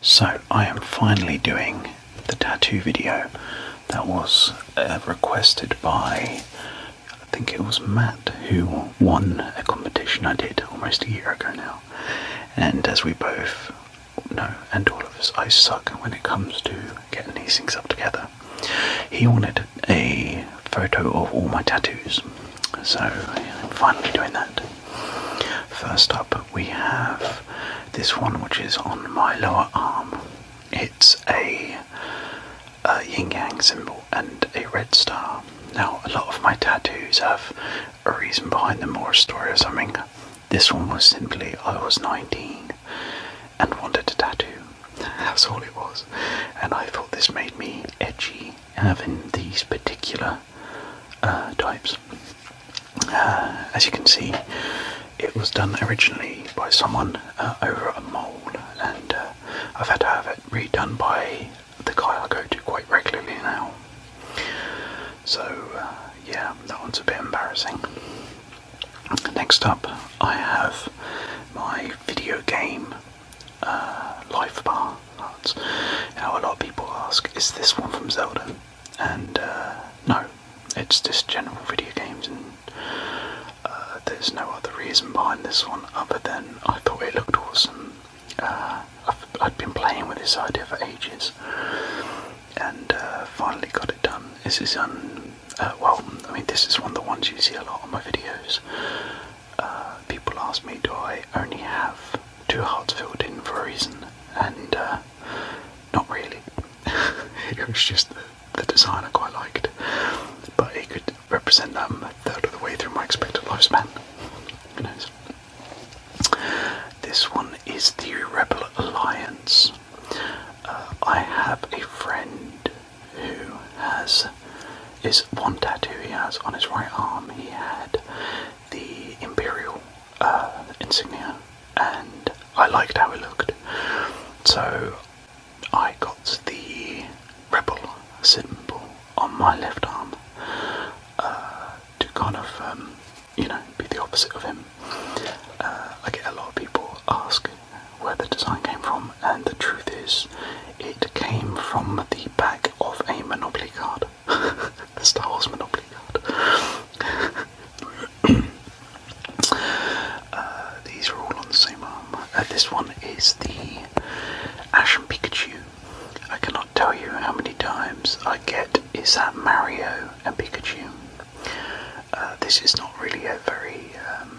So I am finally doing the tattoo video that was uh, requested by, I think it was Matt who won a competition I did almost a year ago now. And as we both know, and all of us, I suck when it comes to getting these things up together. He wanted a photo of all my tattoos, so I'm finally doing that. First up, we have this one which is on my lower arm. It's a, yin yang symbol and a red star. Now, a lot of my tattoos have a reason behind them or a story or something. This one was simply I was 19 and wanted a tattoo. That's all it was. And I thought this made me edgy having these particular uh, types. Uh, as you can see, it was done originally by someone uh, over a mold, and I've had to have it redone by the guy I go to quite regularly now. So, yeah, that one's a bit embarrassing. Next up, I have my video game uh, life bar. That's, you a lot of people ask, is this one from Zelda? And uh, no, it's just general video games, and uh, there's no other reason behind this one other than I thought it looked awesome. I've, had been playing with this idea for ages, and finally got it done. This is um, uh, well, I mean, this is one of the ones you see a lot on my videos. Uh, people ask me, do I only have two hearts filled in for a reason? And uh, not really. it was just the, design I quite liked, but it could represent um, a third of the way through my expected lifespan. This one is the Rebel Alliance. Uh, I have a friend who has is one tattoo he has on his right arm. He had the imperial uh, insignia, and I liked how it looked. So I got the rebel symbol on my left arm uh, to kind of, um, you know, be the opposite of him. Uh, I get a lot of people ask where the design came from, and the truth is, it came from the back of a Monopoly card. the Star Wars Monopoly card. Uh, these are all on the same arm. Uh, this one is the Ash and Pikachu. I cannot tell you how many times I get is that Mario and Pikachu. Uh, this is not really a very um,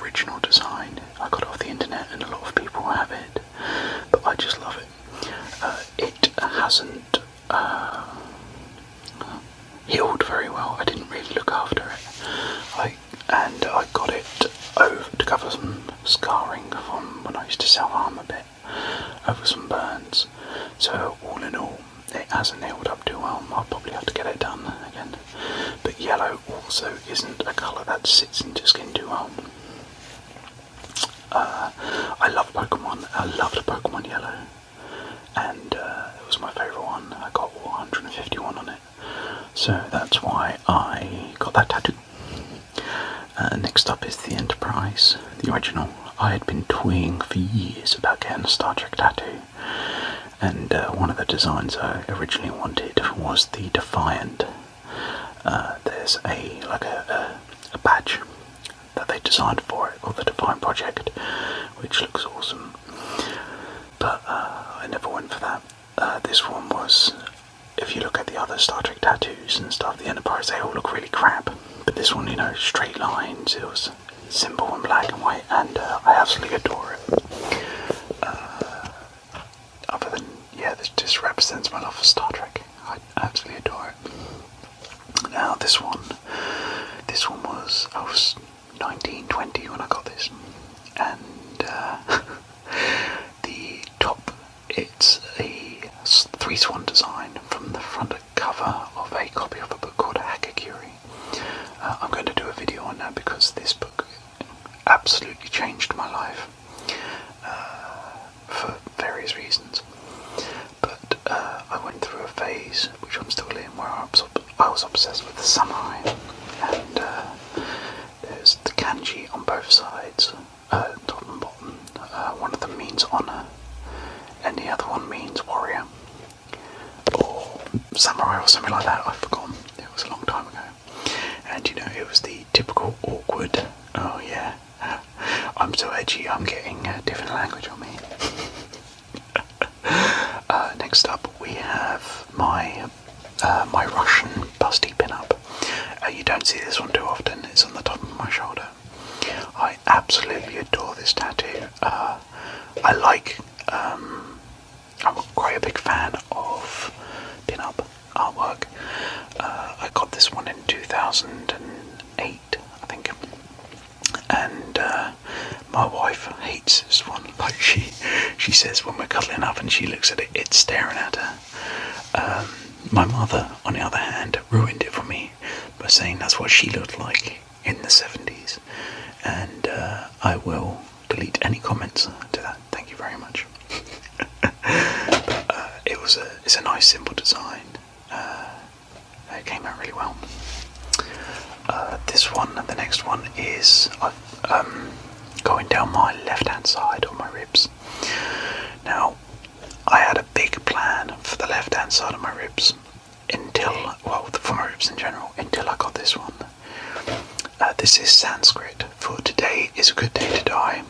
original design. I got it off the internet and a lot of people have it, but I just love it. Uh, it hasn't uh, healed very well. I didn't really look after it. and I got it over to cover some scarring from when I used to sell arm a bit over some burns. So all in all, it hasn't healed up too well. I'll probably have to get it done again. But yellow also isn't a colour that sits into skin too well. Uh, I love Pokemon. I loved Pokemon Yellow, and uh, it was my favourite one. I got 151 on it, so that's why I got that tattoo. Uh, next up is the Enterprise, the original. I had been toying for years about getting a Star Trek tattoo, and uh, one of the designs I originally wanted was the Defiant. Uh, there's a like a, a, badge that they designed for it, or the Defiant project, which looks awesome. But uh, I never went for that. this one was, if you look at the other Star Trek tattoos and stuff, the Enterprise, they all look really crap. But this one, you know, straight lines, it was Simple in black and white, and uh, I absolutely adore it. Uh, other than, yeah, this just represents my love for Star Trek. I absolutely adore it. Now, this one, this one was, oh, I was 19, 20 when I got this, and uh, the top, it's a three swan design from the front cover of a copy of a book called Hakakuri. Uh, I'm going to do a video on that because this book absolutely changed my life uh, for various reasons. But uh, I went through a phase, which I'm still in, where I was obsessed with the samurai. And uh, there's the kanji on both sides, top and bottom. Uh, one of them means honour, and the other one means warrior, or samurai, or something like that. I've forgotten. It was a long time ago. And you know, it was the typical awkward. Oh yeah, I'm so edgy. I'm getting a different language on me. Uh, next up, we have my uh, my Russian busty pin-up. you don't see this one too often. It's on the top of my shoulder. I absolutely adore this tattoo. Uh, I like. Um, I'm quite a big fan of pin-up artwork. Uh, I got this one in 2008, I think, and uh, my wife hates this one. Like she, she says when we're cuddling up and she looks at it, it's staring at her. Um, my mother, on the other hand, ruined it for me by saying that's what she looked like in the 70s, and uh, I will delete any comments to that. Thank you very much. Uh, it was a it's a nice simple design. Uh, it came out really well. this one, and the next one is um, going down my left hand side on my ribs. Now, I had a big plan for the left hand side of my ribs until, well, for my ribs in general, until I got this one. Uh, this is Sanskrit for today is a good day to die.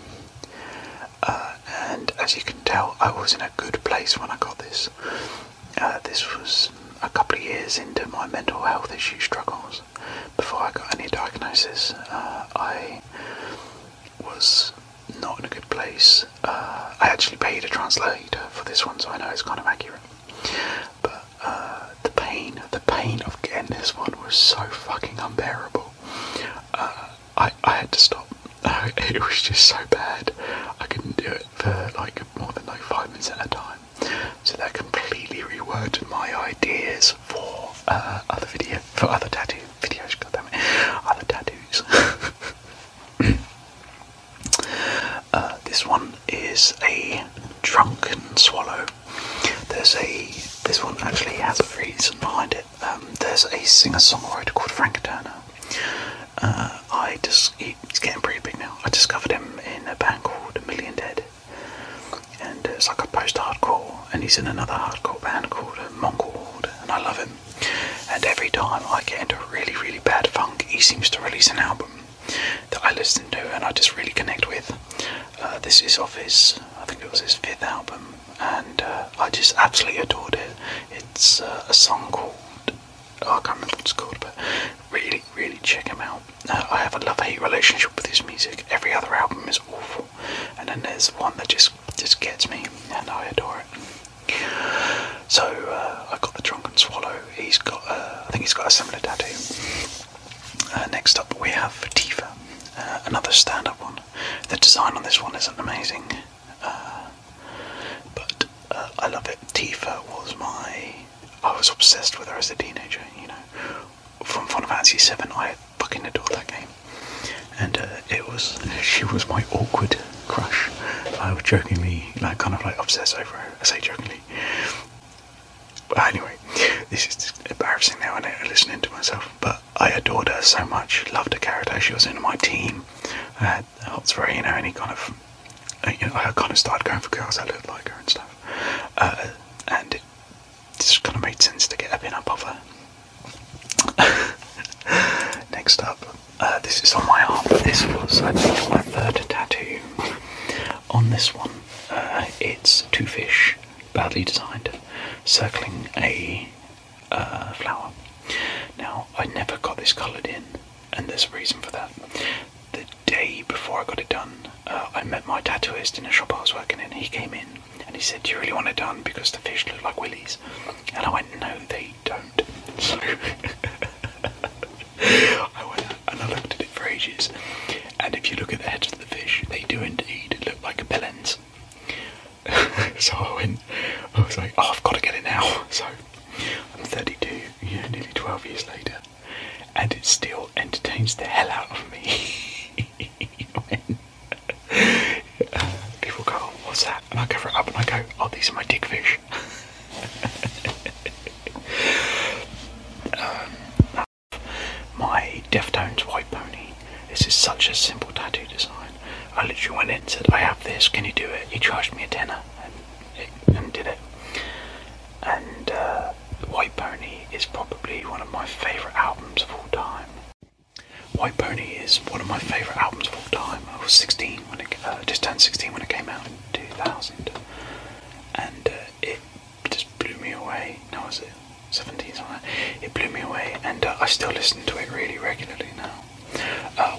Uh, and as you can tell, I was in a good place when I got this. Uh, this was a couple of years into my mental health issue struggles. Before I got any diagnosis, I was not in a good place. Uh, I actually paid a translator for this one, so I know it's kind of accurate. But uh, the pain, the pain of getting this one was so fucking unbearable. Uh, I, I had to stop. It was just so bad. I couldn't do it for like more than like five minutes at a time. So that completely reworked my ideas for other videos for other tattoo videos, goddammit. Other tattoos. Uh, this one is a drunken swallow. There's a this one actually has a reason behind it. Um, there's a singer-songwriter called Frank Turner. Uh, I just It's getting pretty big now. I discovered him in a band called A Million Dead it's like a post-hardcore, and he's in another hardcore band called uh, Mongol and I love him. And every time I get into really, really bad funk, he seems to release an album that I listen to and I just really connect with. Uh, this is off his, I think it was his fifth album, and uh, I just absolutely adored it. It's a song called, oh, I can't remember what it's called, but really, really check him out. I have a love-hate relationship with his music. Every other album is awful and then there's one that just just gets me, and I adore it. So uh, I got the Drunken Swallow. He's got, uh, I think he's got a similar tattoo. Uh, next up, we have Tifa, uh, another stand-up one. The design on this one is amazing, but I love it. Tifa was my, I was obsessed with her as a teenager. You know, from Final Fantasy Seven. I fucking adored that game, and uh, it was she was my awkward crush. I was jokingly, like, kind of like obsessed over her. I say jokingly. But anyway, this is embarrassing now. I am listening to myself, but I adored her so much. Loved her character. She was in my team. I had hots for you know, any kind of, you know, I kind of started going for girls that looked like her and stuff. Uh, and it just kind of made sense to get a pin up of her. Next up, uh, this is on my arm. This was, I think, my third tattoo. On this one, uh, it's two fish, badly designed, circling a uh, flower. Now, I never got this coloured in, and there's a reason for that. The day before I got it done, uh, I met my tattooist in a shop I was working in. He came in and he said, "Do you really want it done because the fish look like willies?" And I went, "No, they don't." So I went and I looked at it for ages. And if you look at the heads of the fish, they do indeed look like bellends. so I went, I was like, "Oh, I've got to get it now." So I'm 32, nearly 12 years later, and it still entertains the hell out of me uh, people go, what's that? And I cover it up and I go, oh, these are my dick fish. Um, my Deftones white pony. This is such a simple tattoo design. I literally went in and said, I have this, can you do it? He charged me a tenner and did it and uh, White Pony is probably one of my favourite albums of all time. White Pony is one of my favourite albums of all time. I was 16 when it uh, just turned 16 when it came out in 2000, and uh, it just blew me away. Now was it 17 something? It blew me away, and I still listen to it really regularly now.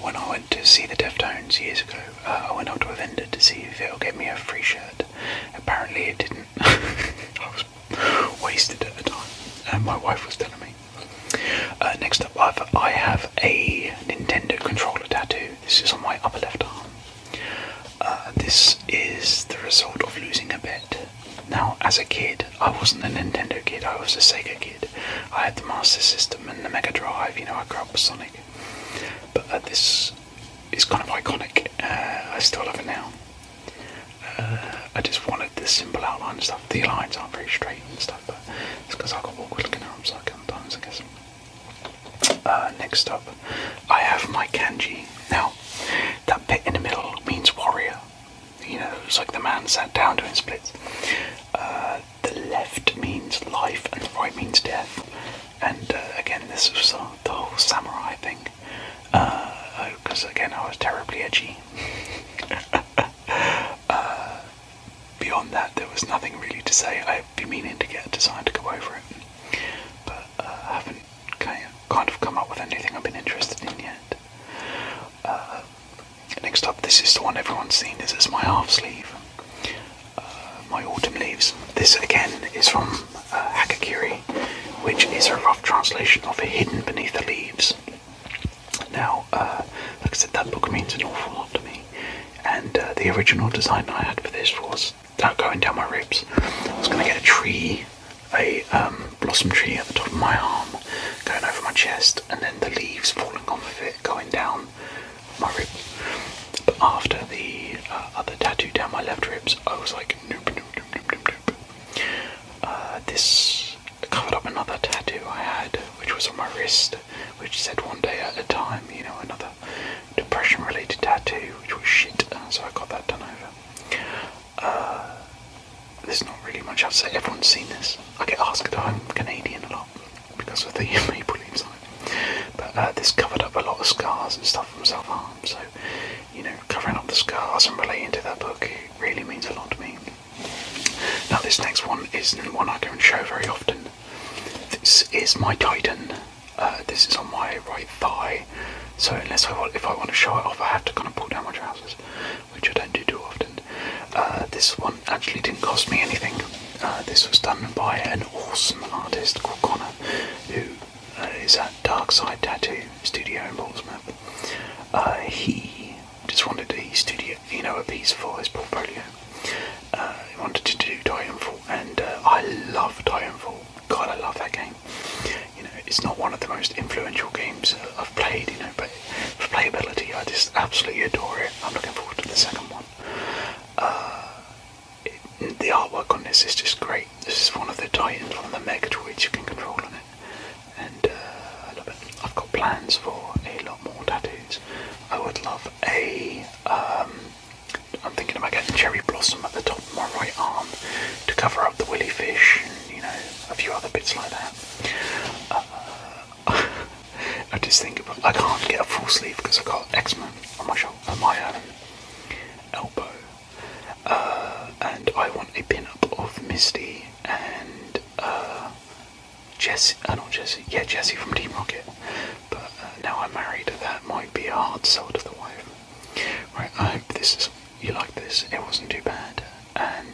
when I went to see the Deftones years ago, I went up to a vendor to see if it'll get me a free shirt. Apparently, it didn't I was wasted at the time, and my wife was telling me. Uh, next up, I've, I have a Nintendo controller tattoo. This is on my upper left arm. Uh, this is the result of losing a bet. Now, as a kid, I wasn't a Nintendo kid, I was a Sega kid. I had the Master System and the Mega Drive, you know, I grew up with Sonic. But uh, this it's kind of iconic. Uh, I still love it now. Uh, I just wanted the simple outline and stuff. The lines aren't very straight and stuff, but it's because I got awkward looking arms sometimes, I guess. Uh, next up, I have my kanji. Now, that bit in the middle means warrior. You know, it's like the man sat down doing splits. the left means life and the right means death and uh, again, this was the whole samurai thing, because uh, oh, again, I was terribly edgy. Uh, beyond that, there was nothing really to say. I've been meaning to get a design to go over it, but I haven't kind of, come up with anything I've been interested in yet. next up, this is the one everyone's seen. This is my half sleeve. Uh, my Autumn Leaves. This again is from uh, which is a rough translation of Hidden Beneath the Leaves. Now, uh, like I said, that book means an awful lot to me, and uh, the original design I had for this was that going down my ribs. I was going to get a tree, a um, blossom tree at the top of my arm, going over my chest, and then the leaves falling off of it, going down my ribs. But after the uh, other tattoo down my left ribs, I was like, nope, nope, nope, nope, nope, nope. Uh, this covered up another tattoo I had, which was on my wrist, which said one day at a time, you know, another depression related tattoo, which was shit, uh, so I got that done over. Uh, there's not really much else to say, everyone's seen this. I get asked that I'm Canadian a lot because of the maple inside. But uh, this covered up a lot of scars and stuff from self harm, so you know, covering up the scars and relating to that book it really means a lot to me. Now, this next one isn't one I go and show very often. This is my Titan. Uh, this is on my right thigh, so unless I want, if I want to show it off, I have to kind of pull down my trousers, which I don't do too often. Uh, this one actually didn't cost me anything. Uh, this was done by an awesome artist called Connor, who uh, is at Dark Side Tattoo Studio in Portsmouth. Uh, he just wanted a studio, you know, a piece for his portfolio. he wanted to do Titanfall, and I love Titanfall. God, I love that game. You know, it's not one of the most influential games I've played, you know, but for playability, I just absolutely adore it. I'm looking forward to the second one the artwork on this is just great. This is one of the Titans, one of the Megatoids you can control on it, and uh, I love it. I've got plans for a lot more tattoos. I would love a. am um, thinking about getting cherry blossom at the top of my right arm to cover up the willy fish and you know a few other bits like that. Uh, I just think I can't get a full sleeve because I got X-Men on my um, elbow, uh, and I want a pin-up of Misty and uh, I do uh, not Jesse, yeah Jesse from Team Rocket, but uh, now I'm married, that might be a hard sell to the wife. Right, I hope this you like this. It wasn't too bad, and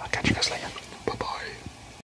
I'll catch you guys later. Bye bye.